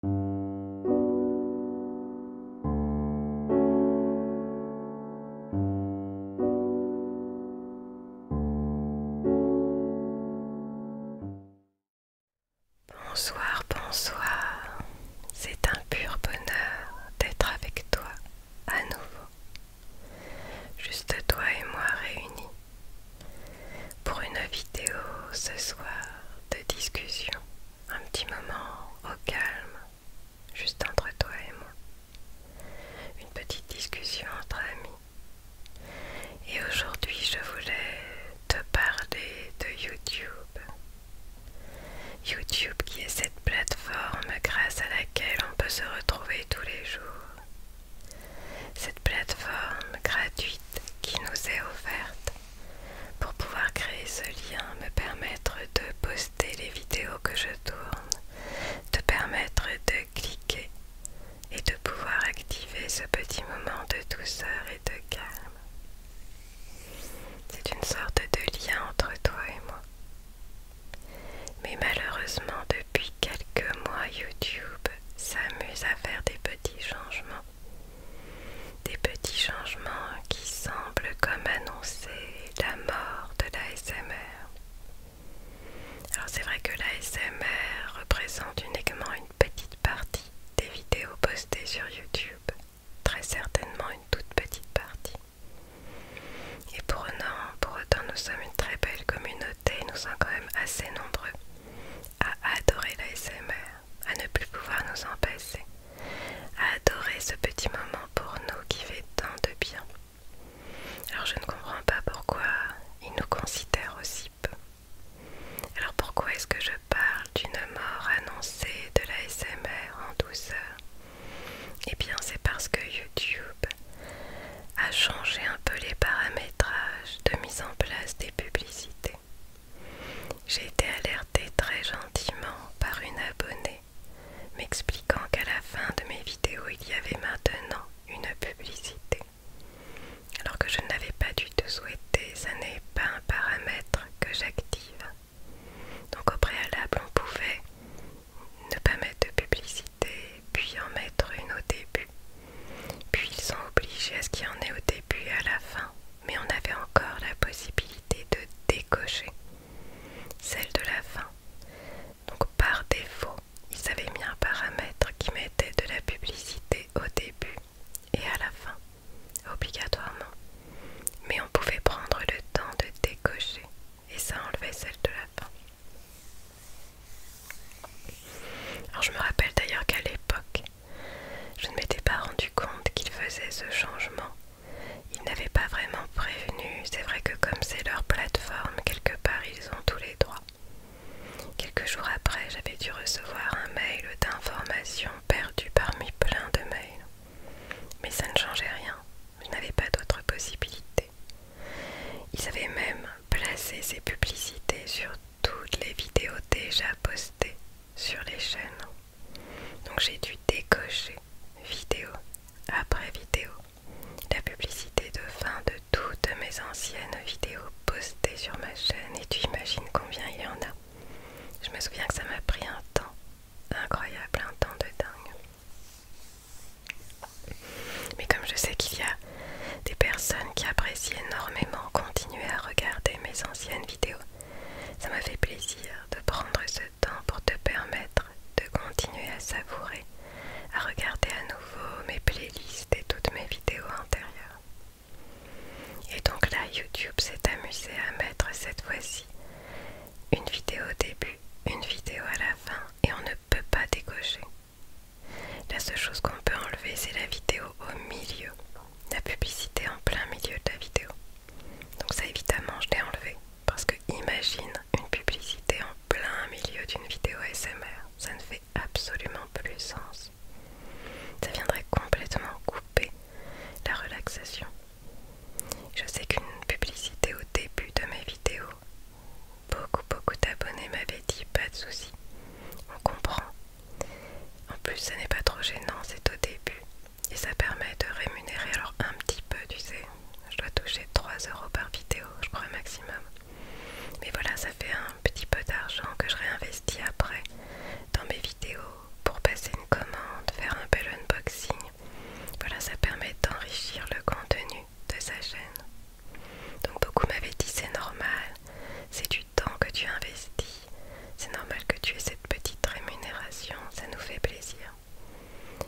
Bonsoir, bonsoir. C'est un pur bonheur d'être avec toi à nouveau. Juste toi et moi réunis pour une vidéo ce soir de discussion. Un petit moment au calme, juste entre toi et moi. Une petite discussion entre amis. Et aujourd'hui, je voulais te parler de YouTube. YouTube qui est cette plateforme grâce à laquelle on peut se retrouver tous les jours. Cette plateforme gratuite qui nous est offerte pour pouvoir créer ce lien, me permettre de poster les vidéos que je tourne, te permettre de cliquer et de pouvoir activer ce petit moment de douceur et de calme. C'est une sorte de lien entre toi et moi. Mais malheureusement, depuis quelques mois, YouTube s'amuse à faire des petits changements des petits changements qui semblent comme annoncer la mort de l'ASMR. Alors c'est vrai que l'ASMR représente uniquement une petite partie des vidéos postées sur YouTube, très certainement une toute petite partie. Et pour, pour autant, nous sommes une très belle communauté, nous sommes quand même assez nombreux à adorer l'ASMR, à ne plus pouvoir nous en passer, à adorer ce petit moment pour nous qui fait tant de bien. Alors je ne comprends pas pourquoi ils nous considèrent aussi peu. Alors pourquoi est-ce que je parle d'une mort annoncée de l'ASMR en douceur Eh bien c'est parce que YouTube a changé un peu les paramétrages de mise en place des publicités. J'ai été alertée très gentiment par une abonnée, m'expliquant qu'à la fin de mes vidéos il y avait maintenant une publicité. Alors que je n'avais pas dû te souhaiter ça n'est pas un paramètre que j'active. Donc au préalable on pouvait ne pas mettre de publicité, puis en mettre une au début. Puis ils sont obligés à ce qu'il y en ait au début et à la fin, mais on avait encore la possibilité de décocher celle de la fin. Donc par défaut, ils avaient mis un paramètre qui mettait de la publicité au début et à la fin, obligatoirement. Mais on pouvait prendre le temps de décocher et ça enlevait celle de la fin. Alors je me rappelle d'ailleurs qu'à l'époque, je ne m'étais pas rendu compte qu'ils faisaient ce changement. Ils n'avaient pas vraiment prévenu, c'est vrai que comme c'est leur plateforme, quelque part ils ont tous les droits. Quelques jours après, j'avais dû recevoir un mail d'information perdu parmi plein de mails. Mais ça ne changeait rien, je n'avais pas d'autres possibilités. Ils avaient même placé ses publicités sur toutes les vidéos déjà postées sur les chaînes. Donc j'ai dû décocher vidéo après vidéo la publicité de fin de toutes mes anciennes vidéos postées sur ma chaîne et tu imagines combien il y en a. Je me souviens que ça m'a pris un temps incroyable, un temps de dingue. Mais comme je sais qu'il y a des personnes qui apprécient énormément continuer à regarder mes anciennes vidéos, ça m'a fait plaisir de prendre ce temps pour te permettre de continuer à savourer, à regarder à nouveau mes playlists et toutes mes vidéos antérieures. Et donc là, YouTube s'est amusé à mettre cette fois-ci une vidéo au début, une vidéo à la fin, et on ne peut pas décocher. La seule chose qu'on peut enlever, c'est la vidéo au milieu, la publicité en plein milieu de la vidéo. Donc ça évidemment je l'ai enlevé parce que imagine une publicité en plein milieu d'une vidéo ASMR, ça ne fait absolument plus sens. Ça viendrait complètement couper la relaxation. Je sais qu'une publicité au début de mes vidéos Beaucoup, beaucoup d'abonnés m'avaient dit pas de soucis, on comprend. En plus, ce n'est pas trop gênant, c'est au début et ça permet de rémunérer alors un petit peu, tu sais. Je dois toucher 3 euros par vidéo, je crois, maximum. Mais voilà, ça fait un petit peu d'argent que je réinvestis après dans mes vidéos pour passer une commande, faire un bel unboxing. Voilà, ça permet d'enrichir le contenu de sa chaîne. Donc beaucoup m'avaient dit c'est normal, c'est du temps que tu investis, c'est normal que tu aies cette petite rémunération, ça nous fait plaisir.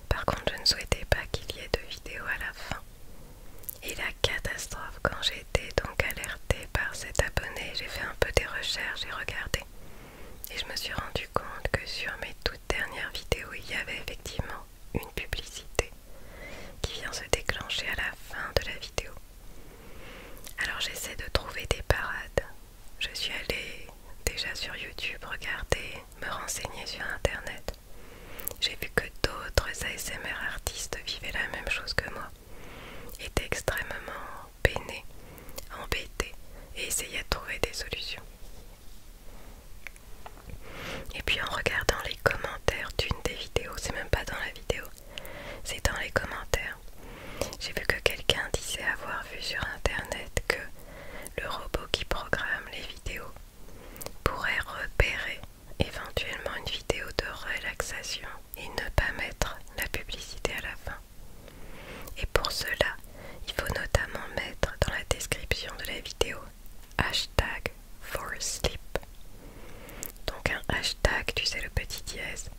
Par contre je ne souhaitais pas qu'il y ait de vidéos à la fin. Et la catastrophe quand j'ai été donc alertée par cet abonné, j'ai fait un peu des recherches, j'ai regardé. Et je me suis rendu compte que sur mes toutes dernières vidéos, il y avait effectivement une publicité qui vient se déclencher à la fin de la vidéo. Alors j'essaie de trouver des parades. Je suis allée déjà sur YouTube regarder, me renseigner sur Internet. J'ai vu que d'autres ASMR artistes vivaient la même chose que moi, étaient extrêmement peinés, embêtés et essayaient de trouver des solutions. Et puis en regardant les commentaires d'une des vidéos, c'est même pas dans la vidéo, c'est dans les commentaires. J'ai vu que quelqu'un disait avoir vu sur internet que le robot qui programme les vidéos pourrait repérer éventuellement une vidéo de relaxation et ne pas mettre la publicité à la fin. Et pour cela, il faut notamment mettre dans la description de la vidéo hashtag for sleep. Donc un hashtag, tu sais le petit dièse,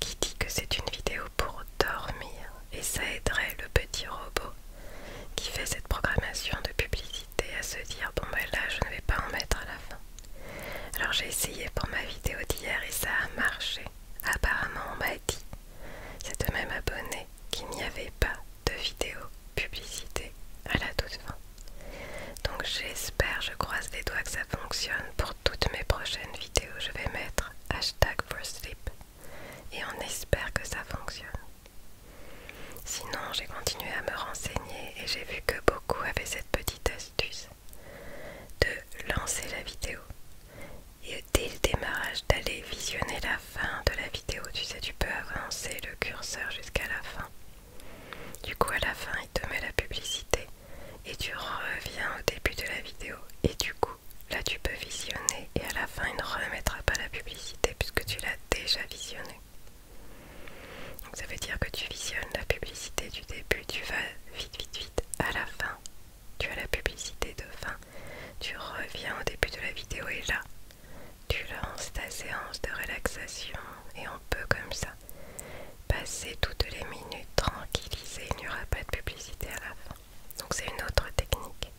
qui dit que c'est une vidéo pour dormir et ça aiderait le petit robot qui fait cette programmation de publicité à se dire bon ben là je ne vais pas en mettre à la fin. Alors j'ai essayé pour ma vidéo d'hier et ça a marché. Apparemment on m'a dit, c'est de même abonné qu'il n'y avait pas de vidéos publicité à la toute fin. Donc j'espère, je croise les doigts que ça fonctionne. Pour toutes mes prochaines vidéos, je vais mettre hashtag for sleep et on espère que ça fonctionne. Sinon, j'ai continué à me renseigner et j'ai vu que beaucoup avaient cette petite astuce de lancer la vidéo et dès le démarrage d'aller visionner la fin de la vidéo, tu sais, tu peux avancer le curseur jusqu'à la fin. Du coup, à la fin, il te met la publicité et tu reviens au début de la vidéo. Et du coup, là, tu peux visionner et à la fin, il ne remettra pas la publicité puisque tu l'as déjà visionnée. Donc, ça veut dire que tu visionnes la publicité du début, tu vas vite, vite, vite à la fin. Tu as la publicité de fin, tu reviens au début de la vidéo et là, tu lances ta séance de relaxation et on peut comme ça passer toutes les minutes tranquillisées, il n'y aura pas de publicité à la fin. Donc c'est une autre technique.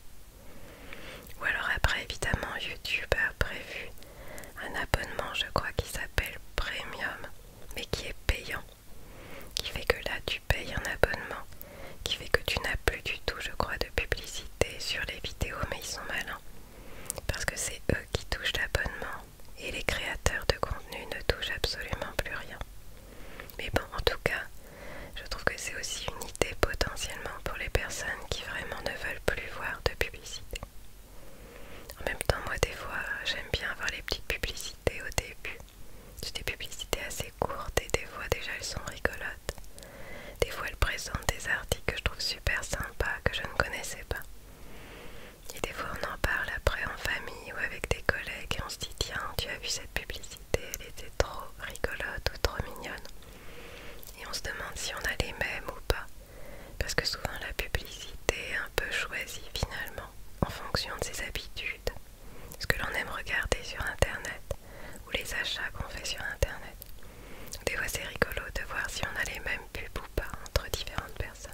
Ou alors après évidemment YouTube a prévu un abonnement je crois qui s'appelle Premium mais qui est payant. Qui fait que là tu payes un abonnement qui fait que tu n'as plus du tout, je crois, de publicité sur les vidéos, mais ils sont malins. Parce que c'est eux qui touchent l'abonnement et les créateurs de contenu ne touchent absolument plus rien. Mais bon, en tout cas, je trouve que c'est aussi une idée potentiellement pour les personnes qui vraiment ne veulent plus voir de publicité. En même temps, moi, des fois, j'aime bien voir les petites publicités au début. C'est des publicités assez courtes et des fois déjà elles sont rigolotes. Des fois, elle présente des articles que je trouve super sympas, que je ne connaissais pas. Et des fois, on en parle après en famille ou avec des collègues et on se dit Tiens, tu as vu cette publicité, elle était trop rigolote ou trop mignonne. Et on se demande si on a les mêmes ou pas. Parce que souvent, la publicité est un peu choisie finalement en fonction de ses habitudes, ce que l'on aime regarder sur internet ou les achats qu'on fait sur internet. Des fois c'est rigolo de voir si on a les mêmes pubs ou pas entre différentes personnes.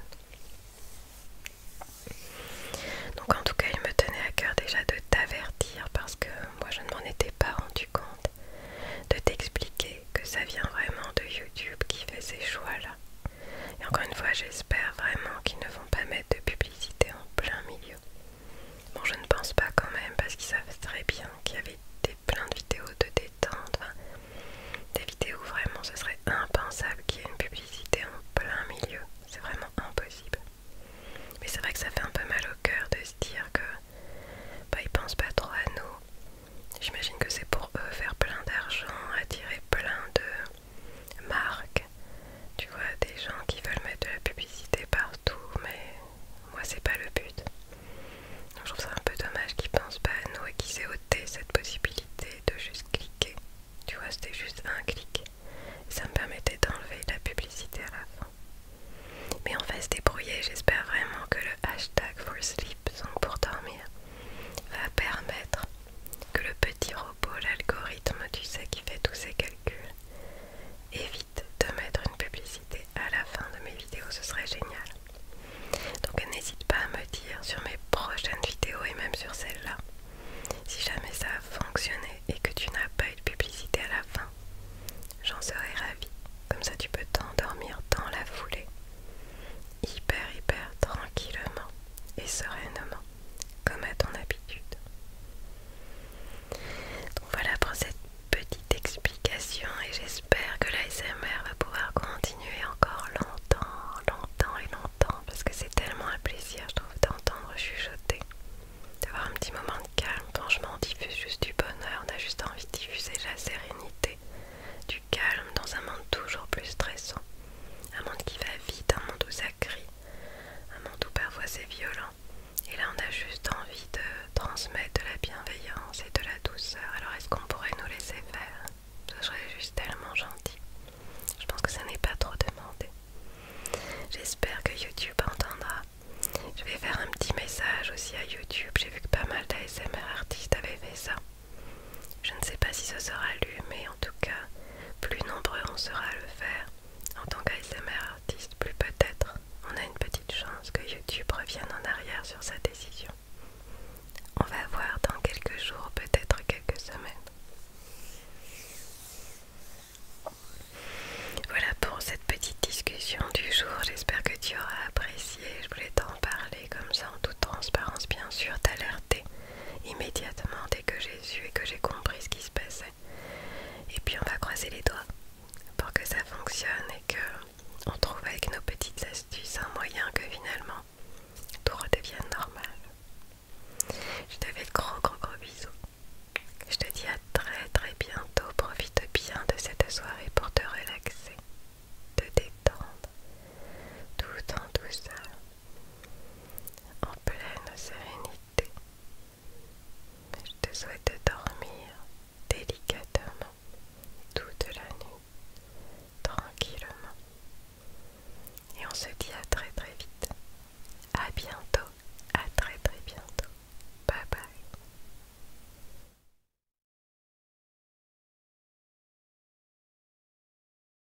Donc en tout cas il me tenait à cœur déjà de t'avertir parce que moi je ne m'en étais pas rendu compte, de t'expliquer que ça vient vraiment de YouTube qui fait ces choix-là. Et encore une fois j'espère vraiment qu'ils ne vont pas mettre de publicité en plein milieu. Bon, je ne pense pas quand même, parce qu'ils savent très bien qu'il y avait des, plein de vidéos de détente, des vidéos vraiment ce serait impensable qu'il y ait une publicité en plein milieu. C'est vraiment impossible. Mais c'est vrai que ça fait un peu mal au cœur de se dire que bah, ils pensent pas trop à nous. J'imagine que c'est pour eux faire plein d'argent, attirer plein de marques tu vois, des gens qui veulent mettre de la publicité partout, mais moi c'est pas le but. je trouve ça un peu dommage qu'ils pensent pas à nous et qu'ils aient ôté cette possibilité de juste cliquer. Tu vois, c'était juste un clic. ça me permettait d'enlever la publicité à la fin. Mais on va se débrouiller, j'espère vraiment que le hashtag for sleep, donc pour dormir, va permettre que le petit pour l'algorithme, tu sais, qui fait tous ces calculs. Évite de mettre une publicité à la fin de mes vidéos, ce serait génial. Donc n'hésite pas à me dire sur mes prochaines vidéos et même sur celle-là, si jamais ça a fonctionné et que tu n'as pas eu de publicité à la fin. J'en serais ravie, comme ça tu peux t'endormir dans la foulée, hyper hyper tranquillement et sereinement comme à ton habitude. Donc voilà pour cette petite explication et j'espère que l'ASMR va pouvoir continuer encore longtemps, longtemps et longtemps parce que c'est tellement un plaisir je trouve d'entendre chuchoter, d'avoir un petit moment de calme. Franchement on diffuse juste du bonheur, on a juste envie de diffuser la sérénité, du calme dans un monde toujours plus stressant. Un monde qui va vite, un monde où ça crie, un mon tout parfois c'est violent. Et là, on a juste envie de transmettre de la bienveillance et de la douceur. Alors, est-ce qu'on pourrait nous laisser faire Ce serait juste tellement gentil. Je pense que ça n'est pas trop demandé. J'espère que YouTube entendra. Je vais faire un petit message aussi à YouTube. J'ai vu que pas mal d'ASMR artistes avaient fait ça. Je ne sais pas si ce sera lu, mais en tout cas, plus nombreux on sera à le faire. En tant qu'ASMR artiste, plus peut-être, on a une petite chance que YouTube revienne en arrière sur sa décision. On va voir dans quelques jours, peut-être quelques semaines. Voilà pour cette petite discussion du jour. J'espère que tu auras apprécié. Je voulais t'en parler comme ça en toute transparence, bien sûr, t'alerter immédiatement que j'ai su et que j'ai compris ce qui se passait. Et puis on va croiser les doigts pour que ça fonctionne et que on trouve avec nos petites astuces un moyen que finalement tout redevienne normal. Je te fais de gros gros gros bisous. Je te dis à très très bientôt. Profite bien de cette soirée pour te relaxer, te détendre, tout en douceur en pleine sérénité. je te souhaite dormir délicatement toute la nuit, tranquillement. Et on se dit à très très vite. À bientôt, à très très bientôt. Bye bye.